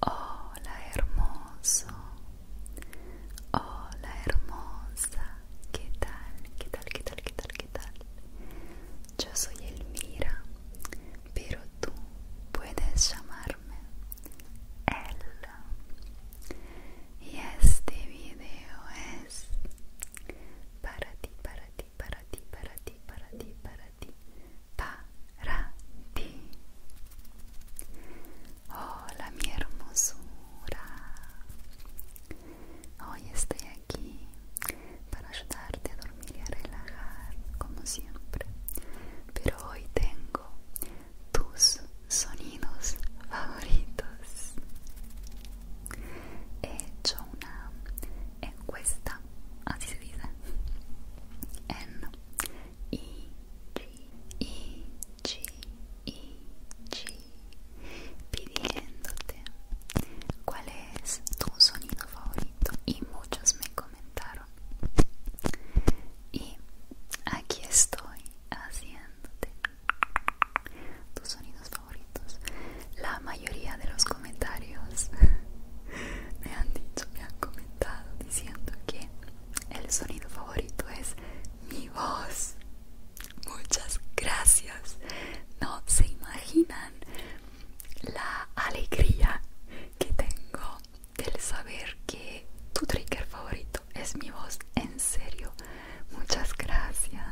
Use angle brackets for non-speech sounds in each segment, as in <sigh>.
Hola hermoso, hola hermosa, ¿qué tal? ¿Qué tal? ¿Qué tal? ¿Qué tal? ¿Qué tal? Yo soy Elmira, pero tú puedes llamarme Ella. Y este video es para ti, para ti, para ti, para ti, para ti, para ti, para ti. Hola mi hermosura. Hoy estoy aquí para ayudarte a dormir y a relajar, como siempre. Pero hoy tengo tus sonidos favoritos he hecho una encuesta, así se dice, en I, G, I, G, I, G, pidiéndote cuál es tu sonido favorito y muchos me comentaron. Y aquí estoy haciéndote tus sonidos favoritos. La mayoría de los comentarios <laughs> me han dicho, me han comentado diciendo que el sonido favorito es mi voz. Muchas gracias. No se imaginan la alegría que tengo del saber que tu trigger favorito es mi voz. En serio, Muchas gracias.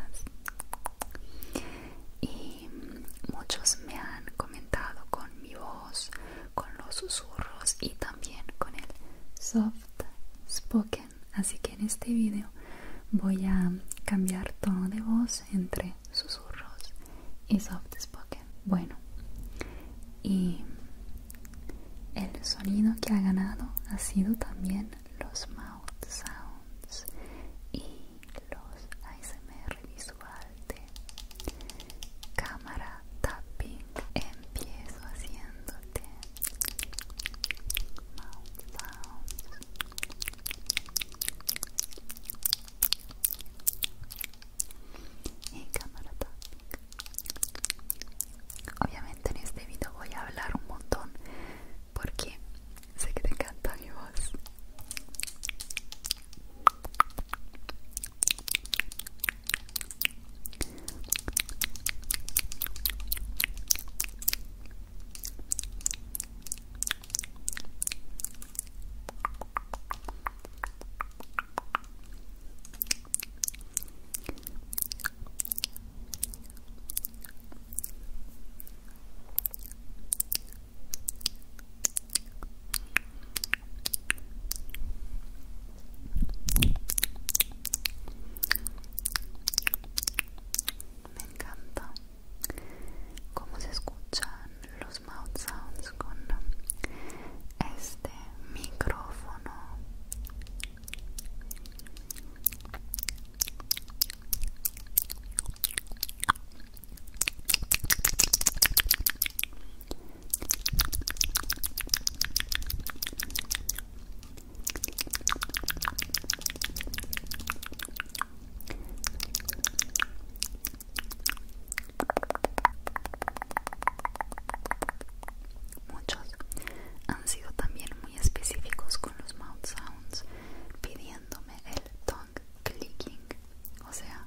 Y muchos me han comentado con mi voz, con los susurros y también con el soft spoken. Así que en este video voy a cambiar tono de voz entre susurros y soft spoken. Bueno, y el sonido que ha ganado ha sido también los mouth sounds y los ASMR visual de cámara tapping empiezo haciéndote mouth sounds y cámara tapping Obviamente en este video voy a hablar un montón porque sé que te encanta mi voz. Me encanta cómo se escuchan los mouth sounds con este micrófono Muchos han sido también específicos con los mouth sounds pidiéndome el tongue clicking o sea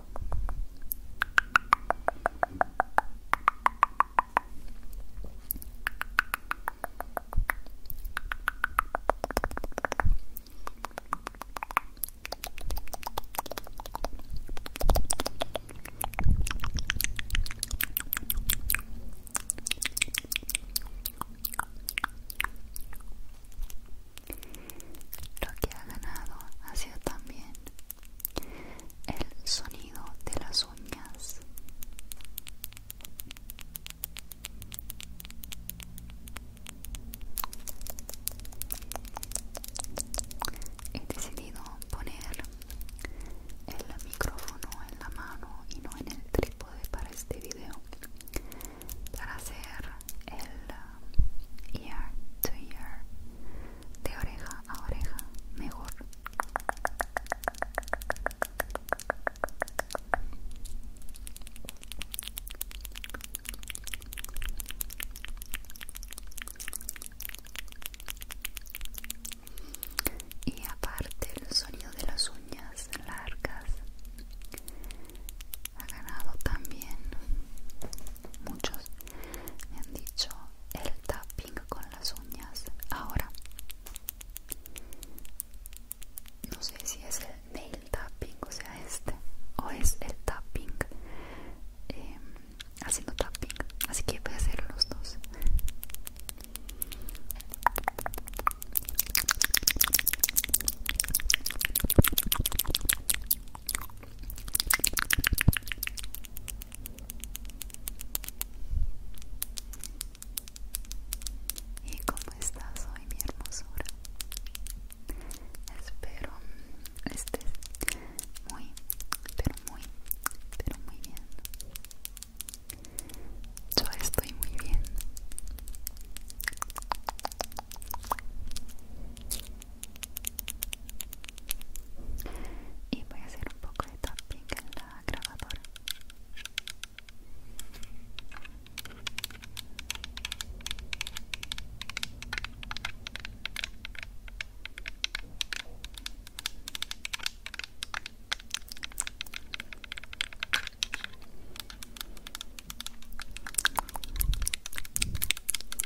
Lo que ha ganado ha sido también el sonido de las uñas he decidido poner el micrófono en la mano y no en el trípode para este video para hacer el ear to ear de oreja a oreja mejor y aparte el sonido de las uñas largas ha ganado también muchos me han dicho el tapping con las uñas ahora no sé si es el nail tapping o sea este o es el tapping em, haciendo tapping así que voy a hacer los dos ¿Y cómo estás hoy, mi hermosura? Espero estés muy, pero muy, pero muy bien. Yo estoy muy bien y voy a hacer un poco de tapping en la grabadora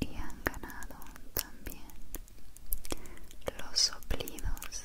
y han ganado también los soplidos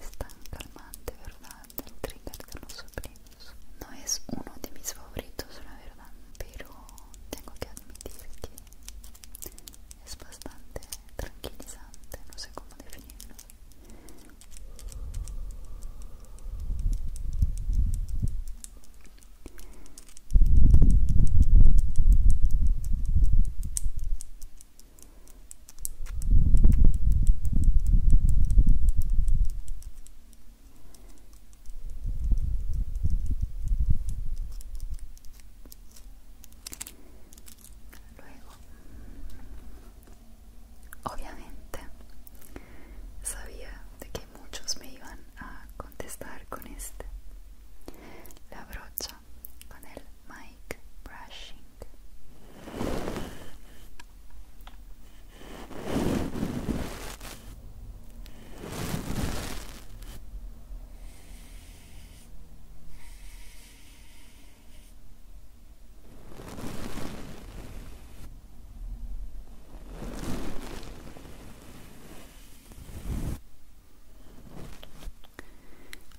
Es tan calmante, ¿verdad? El trigger de los No es uno de mis favoritos, la verdad, pero tengo que admitir que es bastante tranquilizante, no sé cómo definirlo. Luego, obviamente, sabía de que muchos me iban a contestar con este la brocha con el Mike brushing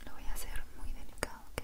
lo voy a hacer muy delicado, ¿ok?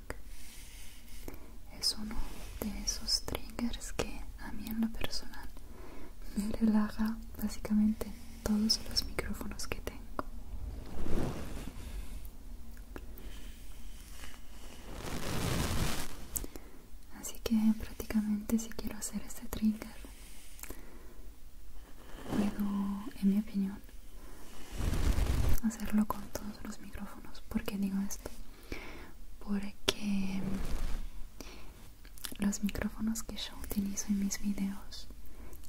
es uno de esos triggers que a mí en lo personal me relaja básicamente todos los micrófonos que tengo así que prácticamente si quiero hacer este trigger puedo en mi opinión hacerlo con todos los micrófonos porque digo esto porque los micrófonos que yo utilizo en mis videos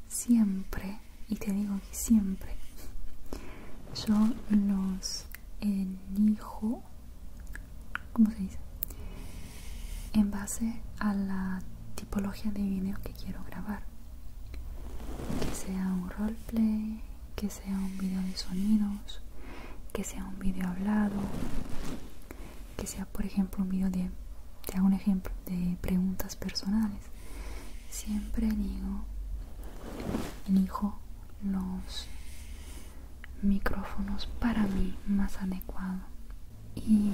siempre y te digo que siempre yo los elijo ¿cómo se dice? en base a la tipología de video que quiero grabar que sea un roleplay que sea un video de sonidos, que sea un video hablado, que sea por ejemplo un video de, te hago un ejemplo, de preguntas personales. Siempre digo, elijo los micrófonos para mí más adecuado y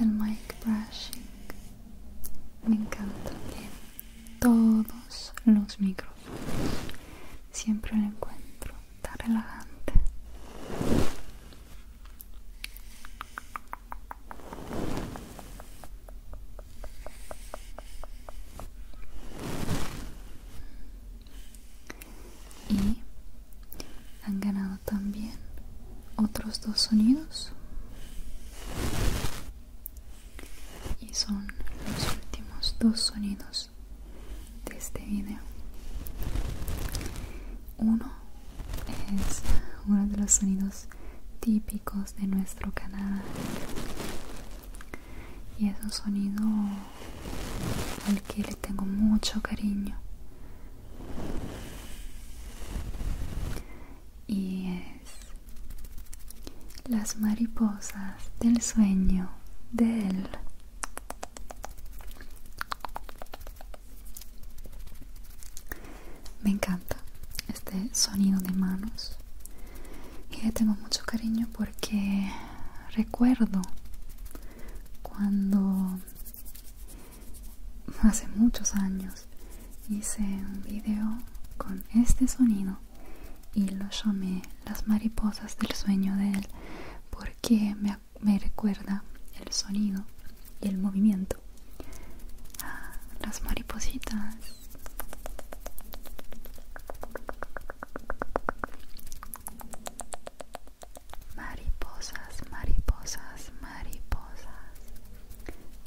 el mic brushing me encanta también todos los micrófonos. Siempre lo encuentro tan relajante. Y han ganado también otros dos sonidos y son los últimos dos sonidos de este video uno es uno de los sonidos típicos de nuestro canal y es un sonido al que le tengo mucho cariño y es las mariposas del sueño de él. Me encanta este sonido de manos y le tengo mucho cariño porque recuerdo cuando hace muchos años hice un video con este sonido y lo llamé las mariposas del sueño de él porque me, recuerda el sonido y el movimiento ah, las maripositas mariposas mariposas mariposas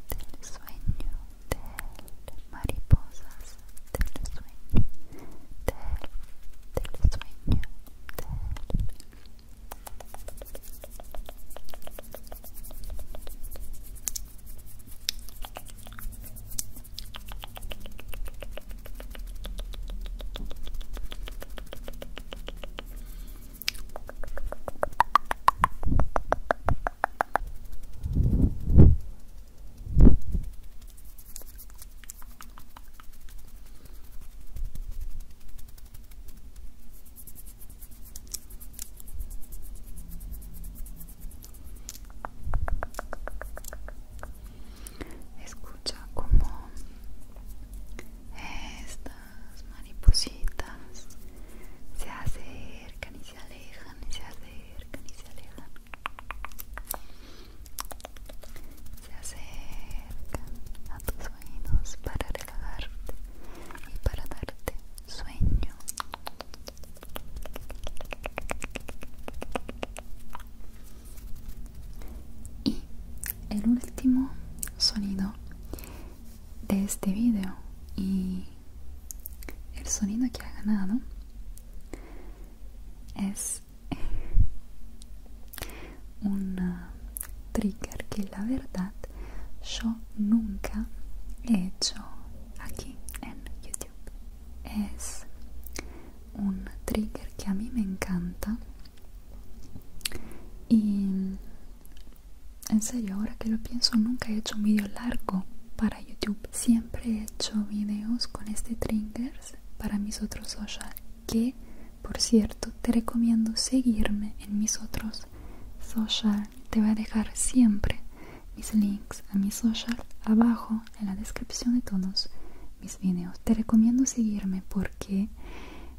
del sueño del mariposas del sueño del, sueño Escucha como estas maripositas se acercan se alejan y se acercan y se alejan se acercan a tus oídos para relajarte y para darte sueño y el último sonido de este vídeo, y el sonido que ha ganado es <laughs> un trigger que la verdad yo nunca he hecho aquí en youtube es un trigger que a mí me encanta y en serio, ahora que lo pienso, nunca he hecho un vídeo largo para YouTube. Siempre he hecho videos con este trinkers para mis otros social. Que, por cierto, te recomiendo seguirme en mis otros social. Te voy a dejar siempre mis links a mis social abajo en la descripción de todos mis videos. Te recomiendo seguirme porque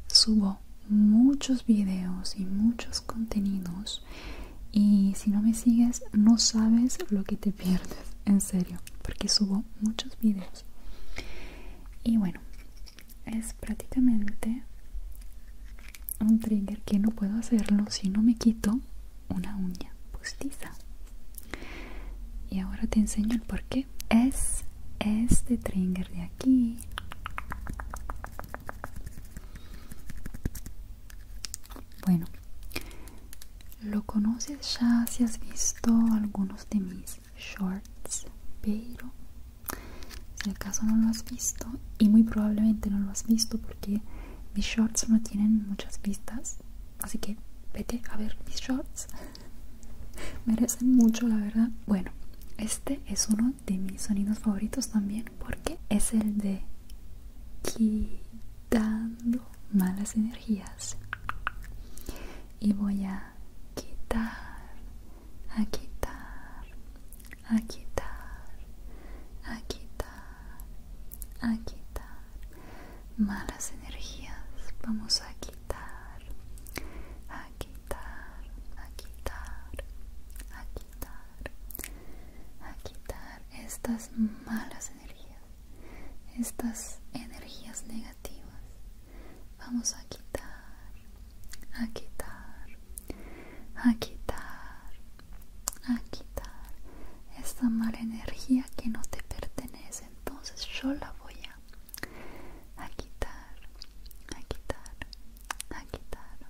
subo muchos videos y muchos contenidos y si no me sigues no sabes lo que te pierdes en serio porque subo muchos vídeos y bueno es prácticamente un trigger que no puedo hacerlo si no me quito una uña postiza y ahora te enseño el porqué es este trigger de aquí bueno, lo conoces ya si has visto algunos de mis shorts, pero si acaso no lo has visto, y muy probablemente no lo has visto porque mis shorts no tienen muchas vistas, así que vete a ver mis shorts. <laughs> Merecen mucho, la verdad. Bueno, este es uno de mis sonidos favoritos también porque es el de quitando malas energías y voy a quitar a quitar a quitar a quitar a quitar malas energías vamos a quitar a quitar a quitar quitar, a quitar estas malas energías, estas energías negativas. Vamos a quitar, a quitar, a quitar, a quitar esta mala energía que no te pertenece. Entonces yo la voy a quitar, a quitar, a quitar,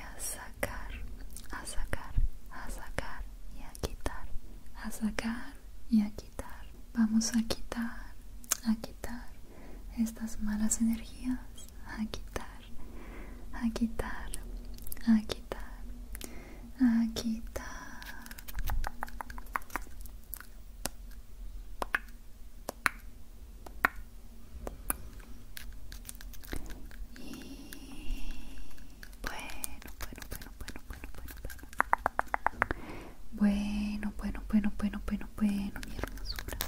a sacar, a sacar, a sacar y a quitar, a sacar y a quitar. Vamos a quitar, a quitar estas malas energías, a quitar, a quitar, a quitar, a quitar bueno, bueno, bueno, bueno, bueno, bueno, bueno bueno bueno bueno bueno mi hermosura.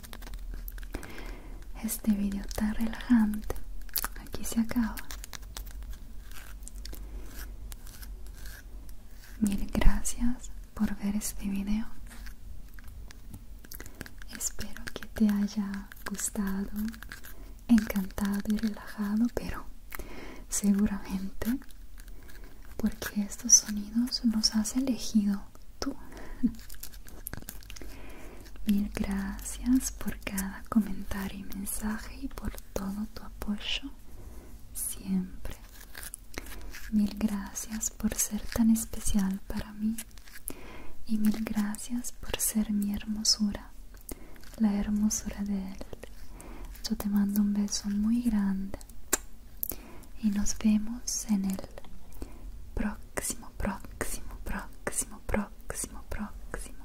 Este video está relajante. Aquí se acaba. Mil gracias por ver este video. Espero que te haya gustado, encantado y relajado, pero seguramente porque estos sonidos los has elegido tú. <laughs> Mil gracias por cada comentario y mensaje y por todo tu apoyo siempre. Mil gracias por ser tan especial para mí y mil gracias por ser mi hermosura, la hermosura de él. Yo te mando un beso muy grande y nos vemos en el próximo, próximo, próximo, próximo, próximo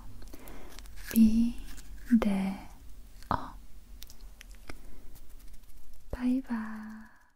V-D-O Bye bye.